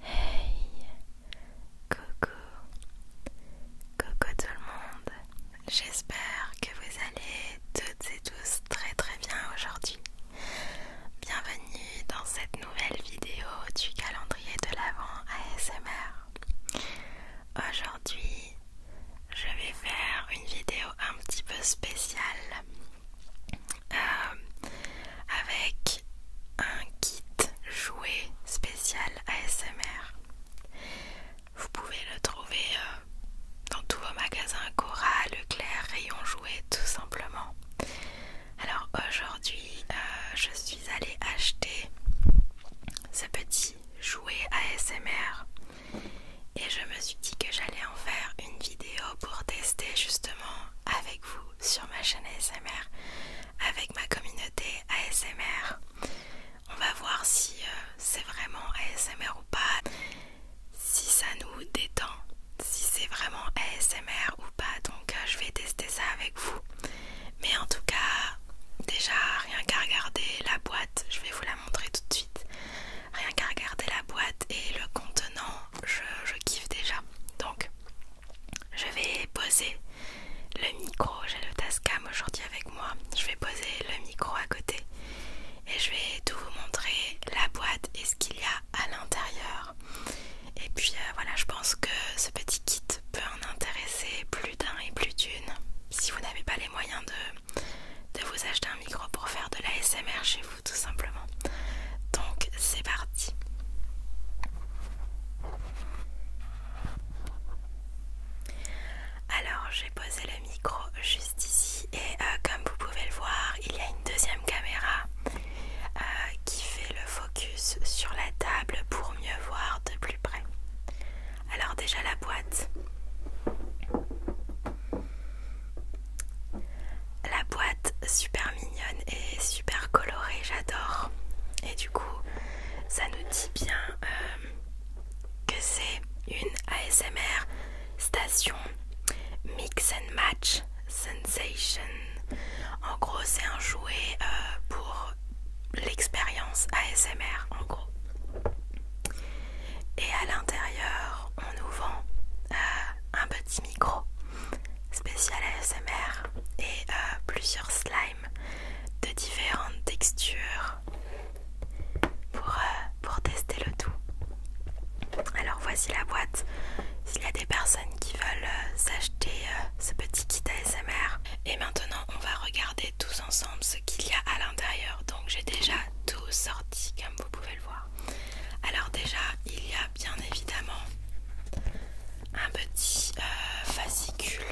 Hey, coucou, coucou tout le monde. J'espère que vous allez toutes et tous très très bien aujourd'hui. Bienvenue dans cette nouvelle vidéo du calendrier de l'Avent ASMR. Aujourd'hui, je vais faire une vidéo un petit peu spéciale euh, avec un kit jouet spécial ASMR. Vous pouvez le trouver euh, dans tous vos magasins Cora, Leclerc, Rayon Jouet tout simplement. Alors aujourd'hui euh, je suis allée acheter ce petit jouet ASMR et je me suis dit que j'allais en faire une vidéo pour tester justement avec vous sur ma chaîne ASMR, avec ma communauté ASMR. On va voir si euh, c'est vraiment ASMR ou pas, si ça nous détend, si c'est vraiment ASMR ou pas. Donc euh, je vais tester ça avec vous. Mais en tout cas, déjà rien qu'à regarder la boîte, je vais vous la montrer tout de suite rien qu'à regarder la boîte et le contenant, je, kiffe déjà. Donc, je vais poser le micro. J'ai le Tascam aujourd'hui avec moi. Je vais poser le micro à côté et je vais tout vous montrer la boîte et ce qu'il y a à l'intérieur. Et puis euh, voilà, je pense que ce petit kit peut en intéresser plus d'un et plus d'une. Si vous n'avez pas les moyens de de vous acheter un micro pour faire de la SMR chez vous tout simplement. Donc c'est parti. Alors j'ai posé le micro juste ici et euh, comme vous pouvez le voir il y a une deuxième caméra euh, qui fait le focus sur la table pour mieux voir de plus près. Alors déjà la boîte. La boîte super mignonne et super colorée, j'adore. Et du coup, ça nous dit bien euh, que c'est une ASMR station Mix and Match Sensation. En gros, c'est un jouet euh, pour l'expérience ASMR en gros. Et à l'intérieur, on nous vend euh, un petit micro spécial ASMR et euh, plusieurs slimes de différentes textures euh, pour, tester le tout. Alors voici la boîte. S'il y a des personnes qui veulent s'acheter ce petit kit ASMR. Et maintenant, on va regarder tous ensemble qu'il y a à l'intérieur. Donc j'ai déjà tout sorti comme vous pouvez le voir. Alors déjà il y a bien évidemment un petit euh, fascicule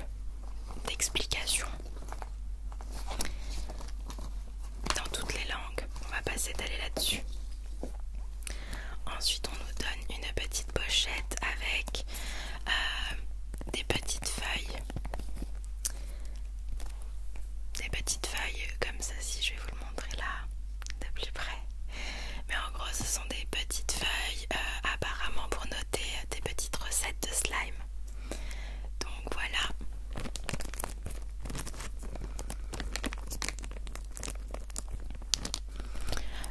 d'explication dans toutes les langues. On va passer d'aller là-dessus. Ensuite on nous donne une petite pochette avec euh, des petites feuilles des petites feuilles comme ceci, je vais vous le montrer là de plus près. Mais en gros, ce sont des petites feuilles euh, apparemment pour noter euh, des petites recettes de slime. Donc voilà.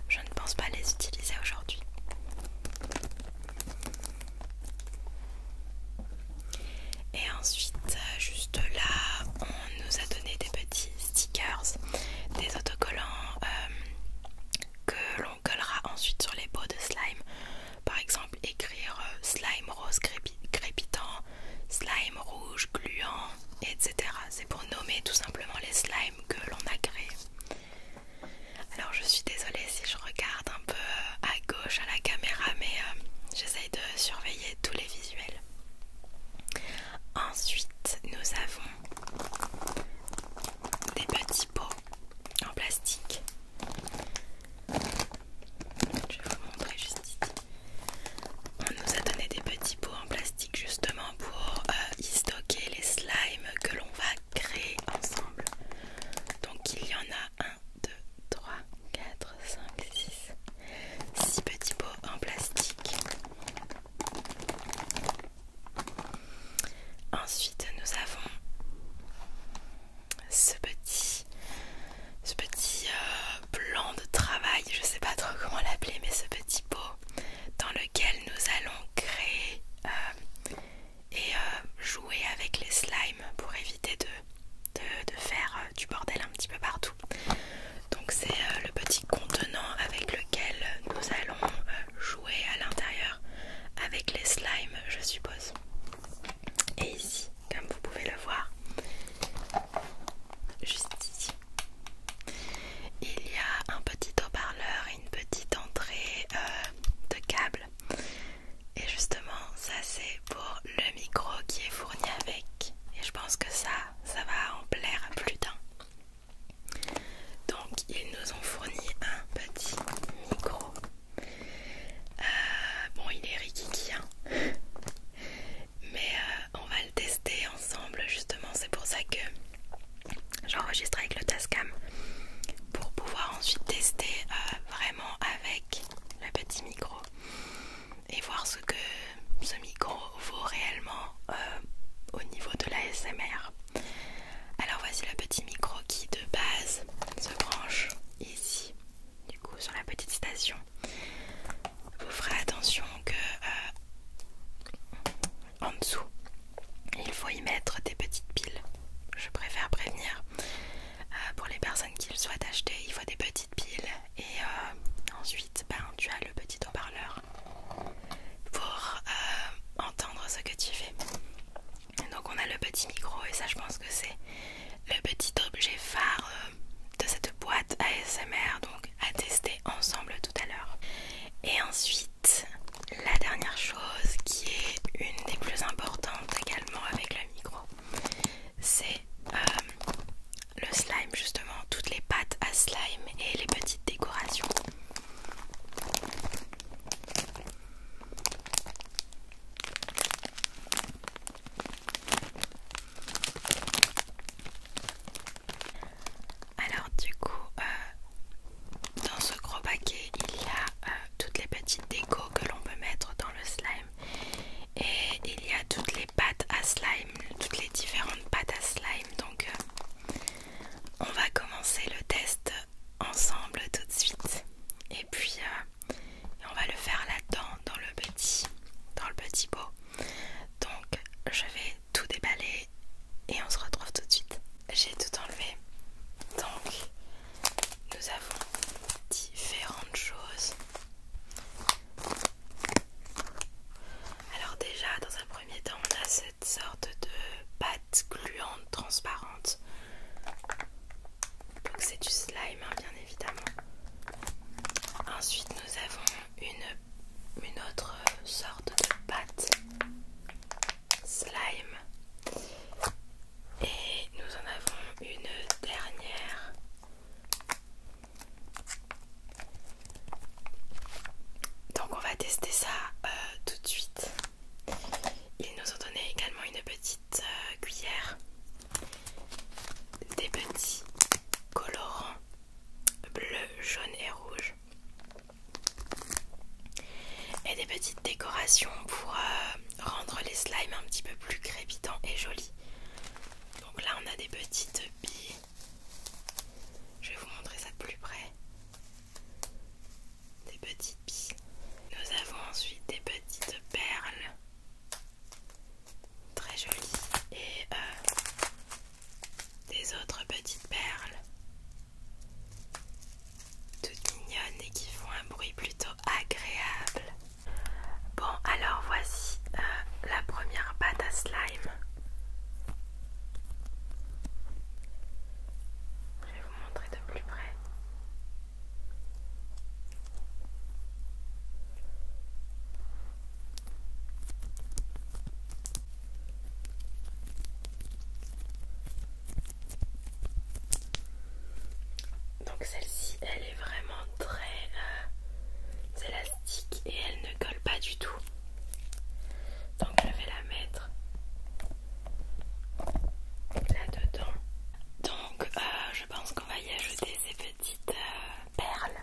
Je ne pense pas les utiliser aujourd'hui. Et ensuite, euh, juste là, on nous a donné des petits stickers, des autocollants euh, que l'on collera ensuite sur les pots de slime. Par exemple, écrire euh, slime rose crépitant, slime rouge gluant, etc. C'est pour nommer tout simplement les slimes que l'on a créés. Alors je suis désolée si je regarde un peu euh, à gauche à la caméra mais euh, j'essaye de surveiller tous les visuels. Ensuite nous avons des petits pots en plastique. Je vais vous montrer juste ici. On nous a donné des petits pots en plastique justement pour euh, y stocker les slimes que l'on va créer ensemble. Donc il y en a un 2, 3, 4, 5, 6. 6 petits pots en plastique. Ensuite, nous avons ce petit, plan euh, de travail, je sais pas trop comment l'appeler, mais ce petit pot dans lequel nous allons créer euh, et euh, jouer avec les slimes pour éviter de, faire euh, du bordel un petit peu partout. Donc c'est euh, le petit contenant avec lequel nous allons jouer à l'intérieur avec les slimes je suppose. Et ici, comme vous pouvez le voir, juste ici, il y a un petit haut-parleur et une petite entrée de câble et justement, ça c'est pour le micro qui est fourni avec. Et je pense que ça, ça va en plaire à plus d'un. Donc ils nous ont fourni un petit micro. Euh, bon, il est rikiki, hein. mais euh, on va le tester ensemble. Justement, c'est pour ça que j'enregistre avec le Tascam pour pouvoir ensuite tester euh, vraiment avec le petit micro et voir ce que ce micro vaut réellement euh, au niveau de la SMR. Alors voici le petit micro qui de base se branche ici, du coup sur la petite station. Vous ferez attention que euh, en dessous il faut y mettre des petites piles. Je préfère prévenir. Euh, pour les personnes qui le souhaitent acheter, il faut des petites piles. Et euh, ensuite, ben, tu as le petit haut-parleur pour euh, entendre ce que tu fais. Donc on a le petit micro et ça je pense que c'est le petit objet phare de cette boîte ASMR donc à tester ensemble tout à l'heure. Et ensuite la dernière chose qui est une des plus importantes également avec le micro, c'est euh, le slime justement, toutes les pâtes à slime et les petites décorations. Alors du coup, euh, dans ce gros paquet, il y a euh, toutes les petites décos que l'on peut mettre dans le slime. Et il y a toutes les pâtes à slime, toutes les différentes pâtes à slime. Donc euh, on va commencer le test ensemble tout de suite. Et puis euh, on va le faire là-dedans, dans le petit, dans le petit pot. Donc je vais tout déballer et on se retrouve tout de suite j'ai tout enlevé. Donc, nous avons différentes choses. Alors déjà, dans un premier temps, on a cette sorte de pâte gluante transparente. Donc c'est du slime, hein, bien évidemment. Ensuite, nous avons une, une autre sorte de pâte slime et nous en avons une dernière donc on va tester ça euh, tout de suite ils nous ont donné également une petite euh, cuillère des petits colorants bleu, jaune et rouge et des petites décorations pour euh, rendre les slimes un petit peu plus crépitants et jolis. Donc là on a des petites billes. Je vais vous montrer ça de plus près. Des petites billes. Nous avons ensuite des petites perles. Très jolies. Et euh, des autres petites perles toutes mignonnes et qui font un bruit plutôt agréable. Bon, alors voici euh, la première pâte à slime. Je vais vous montrer de plus près. Donc celle-ci, elle est vraiment très euh, élastique et elle ne colle pas du tout. Donc je vais la mettre là-dedans. Donc euh, je pense qu'on va y ajouter ces petites euh, perles.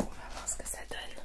on va voir ce que ça donne.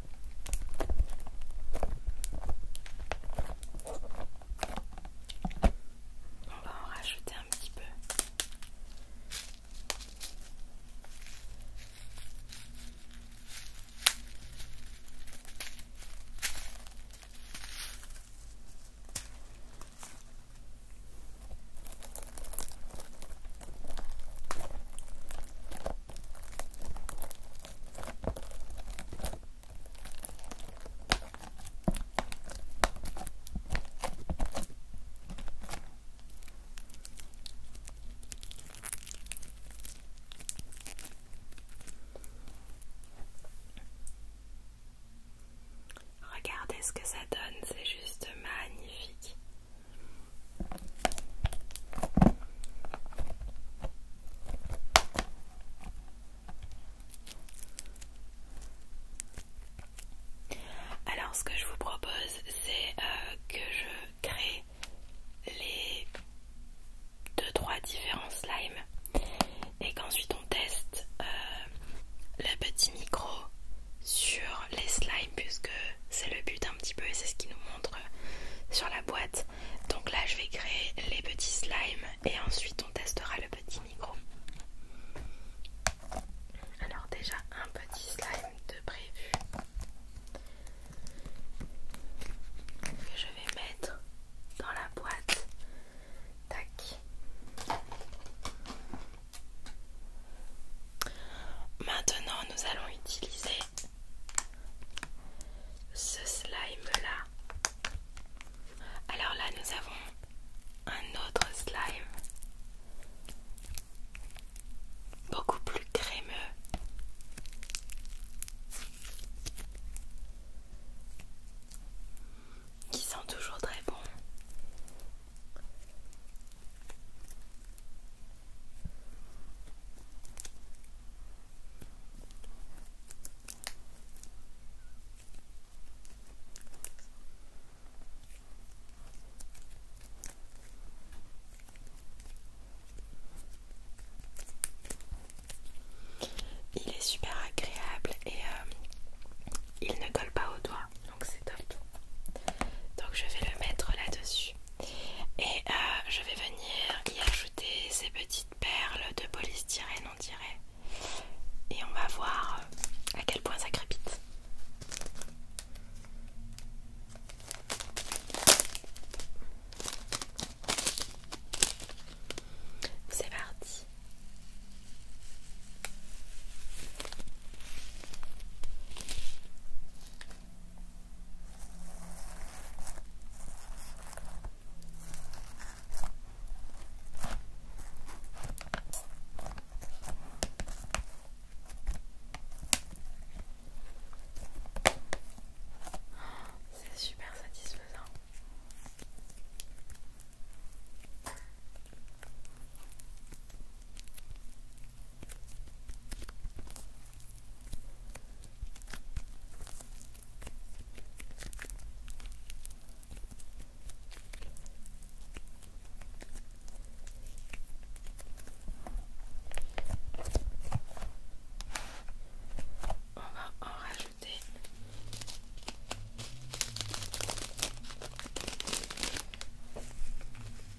On va en rajouter un petit peu. Regardez ce que ça donne, c'est juste magnifique. Alors ce que je vous propose c'est euh, que je crée les 2-3 différents slimes et qu'ensuite on teste euh, le petit micro sur les slimes puisque c'est le but un petit peu et c'est ce qui nous montre sur la boîte donc là, je vais créer les petits slimes et ensuite on testera le petit micro. Alors déjà un petit slime de prévu que je vais mettre dans la boîte. Tac. Maintenant, nous allons utiliser ce slime là. Alors là, nous avons un autre slime beaucoup plus crémeux. Qui sent toujours très bon. Il est super agréable et euh, il ne colle pas au doigt, donc c'est top. Donc je vais le mettre là-dessus. Et euh, je vais venir y ajouter ces petites perles de polystyrène, on dirait. Et on va voir euh, à quel point ça crépite. C'est parti. C'est super satisfaisant. On va en rajouter.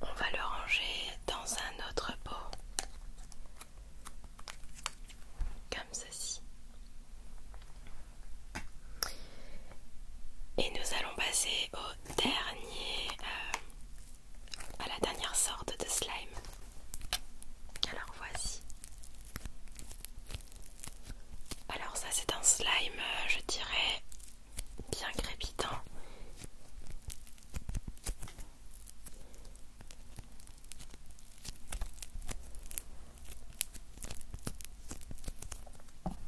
On va le ranger dans un autre pot, comme ceci. Et nous allons passer au dernier, euh, à la dernière sorte de slime. Alors voici. Alors ça c'est un slime, euh, je dirais, bien crépitant.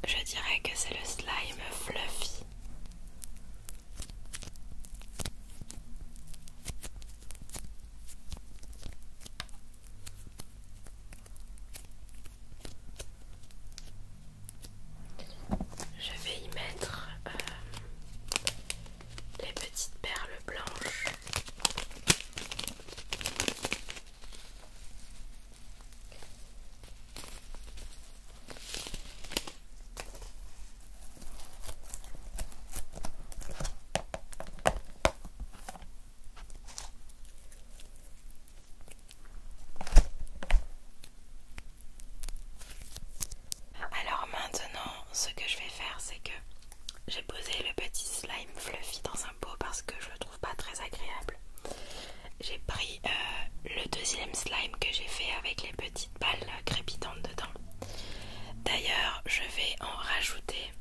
Je dirais que c'est le slime fluffy. Je vais y mettre euh, les petites perles blanches. Alors maintenant, ce que je vais faire, c'est que j'ai posé le petit slime fluffy dans un pot parce que je le trouve pas très agréable. J'ai pris euh, le deuxième slime que j'ai fait avec les petites balles crépitantes dedans. D'ailleurs, je vais en rajouter.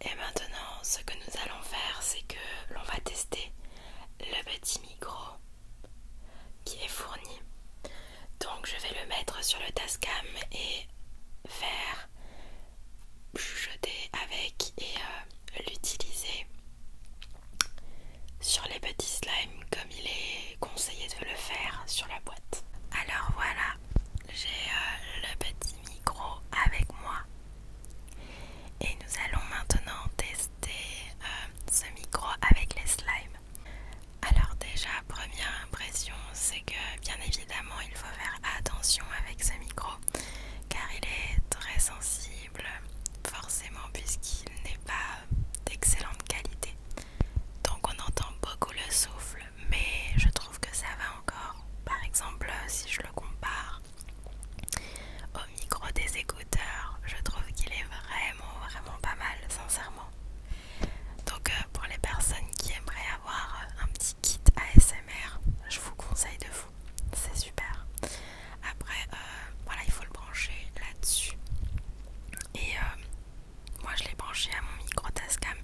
Et maintenant, ce que nous allons faire, c'est que l'on va tester le petit micro qui est fourni. Donc je vais le mettre sur le Tascam et faire chuchoter avec et euh, l'utiliser sur les petits slimes comme il est conseillé de le faire sur la boîte. Alors voilà, j'ai euh, le petit micro avec moi et nous allons maintenant tester euh, ce micro avec les slimes. Alors déjà, première impression, c'est que bien évidemment, il faut faire attention avec ce micro, car il est très sensible, forcément, puisqu'il n'est pas d'excellente qualité. Donc on entend beaucoup le souffle, mais je trouve que ça va encore. Par exemple, si je le compare au micro des écouteurs, je trouve qu'il est vraiment, vraiment pas mal, sincèrement. Donc euh, pour les personnes qui aimeraient avoir euh, un petit kit ASMR, je vous conseille de vous. C'est super. Après, euh, voilà, il faut le brancher là-dessus. Et moi, je l'ai branché à mon micro Tascam,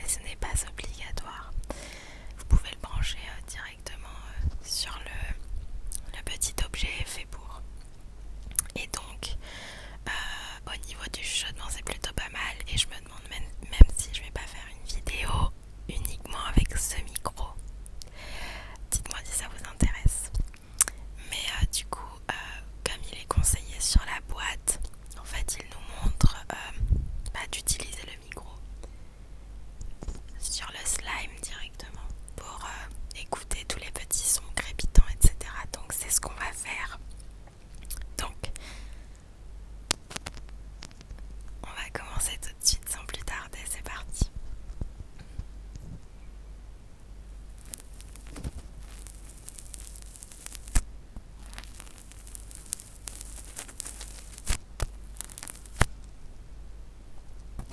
mais ce n'est pas obligatoire. Vous pouvez le brancher directement sur le, le petit objet fait pour. Et donc, euh, au niveau du chuchotement, c'est plutôt pas mal. Et je me demande même, si je vais pas faire une vidéo uniquement avec ce micro. Dites-moi si ça vous intéresse. Mais euh, du coup, euh, comme il est conseillé sur la boîte, en fait, il nous montre bah, d'utiliser le micro sur le slime directement pour écouter tous les petits sont crépitants, etc. Donc c'est ce qu'on va faire. Donc on va commencer tout de suite sans plus tarder, c'est parti.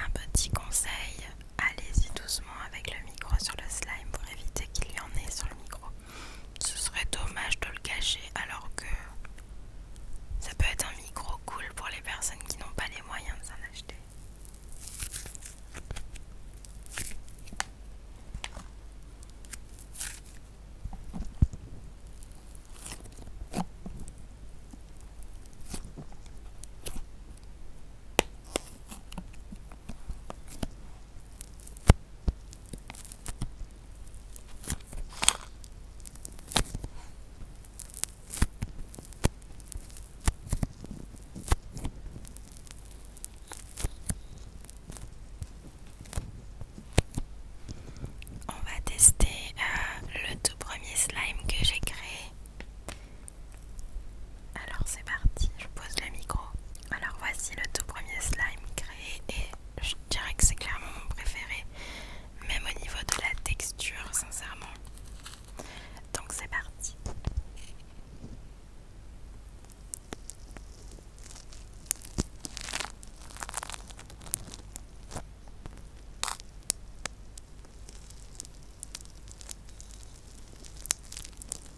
Un petit conseil, allez-y doucement avec le micro sur le slime pour éviter qu'il y en ait sur le micro. Ce serait dommage de le cacher alors que ça peut être un micro cool pour les personnes qui n'ont pas les moyens de s'en acheter. On va tester euh, le tout premier slime que j'ai créé. Alors c'est parti, je pose le micro. Alors voici le tout premier slime créé et je dirais que c'est clairement mon préféré, même au niveau de la texture, sincèrement. Donc c'est parti.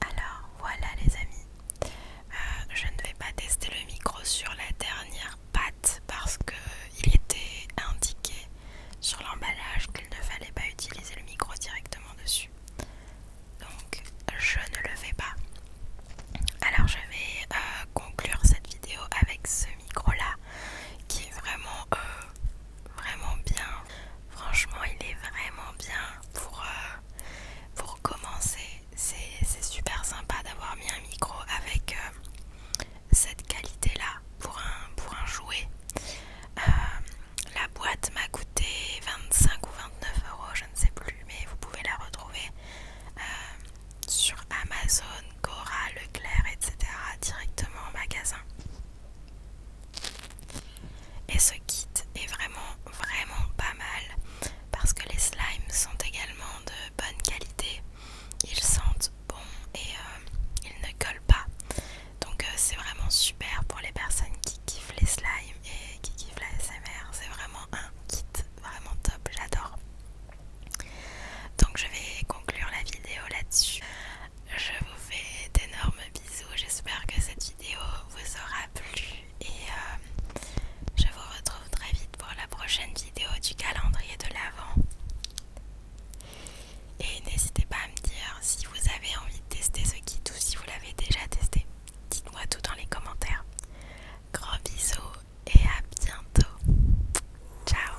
Alors voilà les amis, euh, je ne vais pas tester le micro sur la dernière patte parce qu'il était indiqué sur l'emballage qu'il ne fallait pas utiliser le micro directement dessus. Donc je ne le fais pas. Alors je vais euh, conclure cette vidéo avec ce micro là qui est vraiment euh, vraiment bien. Franchement, il est vraiment bien pour, euh, pour commencer. C'est super sympa d'avoir mis un micro avec euh, cette qualité-là pour un, pour un jouet. Euh, la boîte m'a coûté 25 ou 29 euros, je ne sais plus, mais vous pouvez la retrouver sur Amazon, Cora, Leclerc, etc. directement au magasin. Et ce kit est vraiment vraiment pas mal parce que les slimes sont également de bonne qualité. Ils sentent bon et euh, ils ne collent pas. Donc euh, c'est vraiment super pour les personnes qui kiffent les slimes et qui kiffent la SMR. C'est vraiment un kit vraiment top, j'adore. Donc je vais conclure la vidéo là-dessus. Je vous fais d'énormes bisous. J'espère que cette vidéo vous aura plu. Et euh, je vous retrouve très vite pour la prochaine vidéo du calendrier de l'Avent. Et n'hésitez pas à me dire si vous avez envie de tester ce kit ou si vous l'avez déjà testé. Dites-moi tout dans les commentaires. Gros bisous et à bientôt. Ciao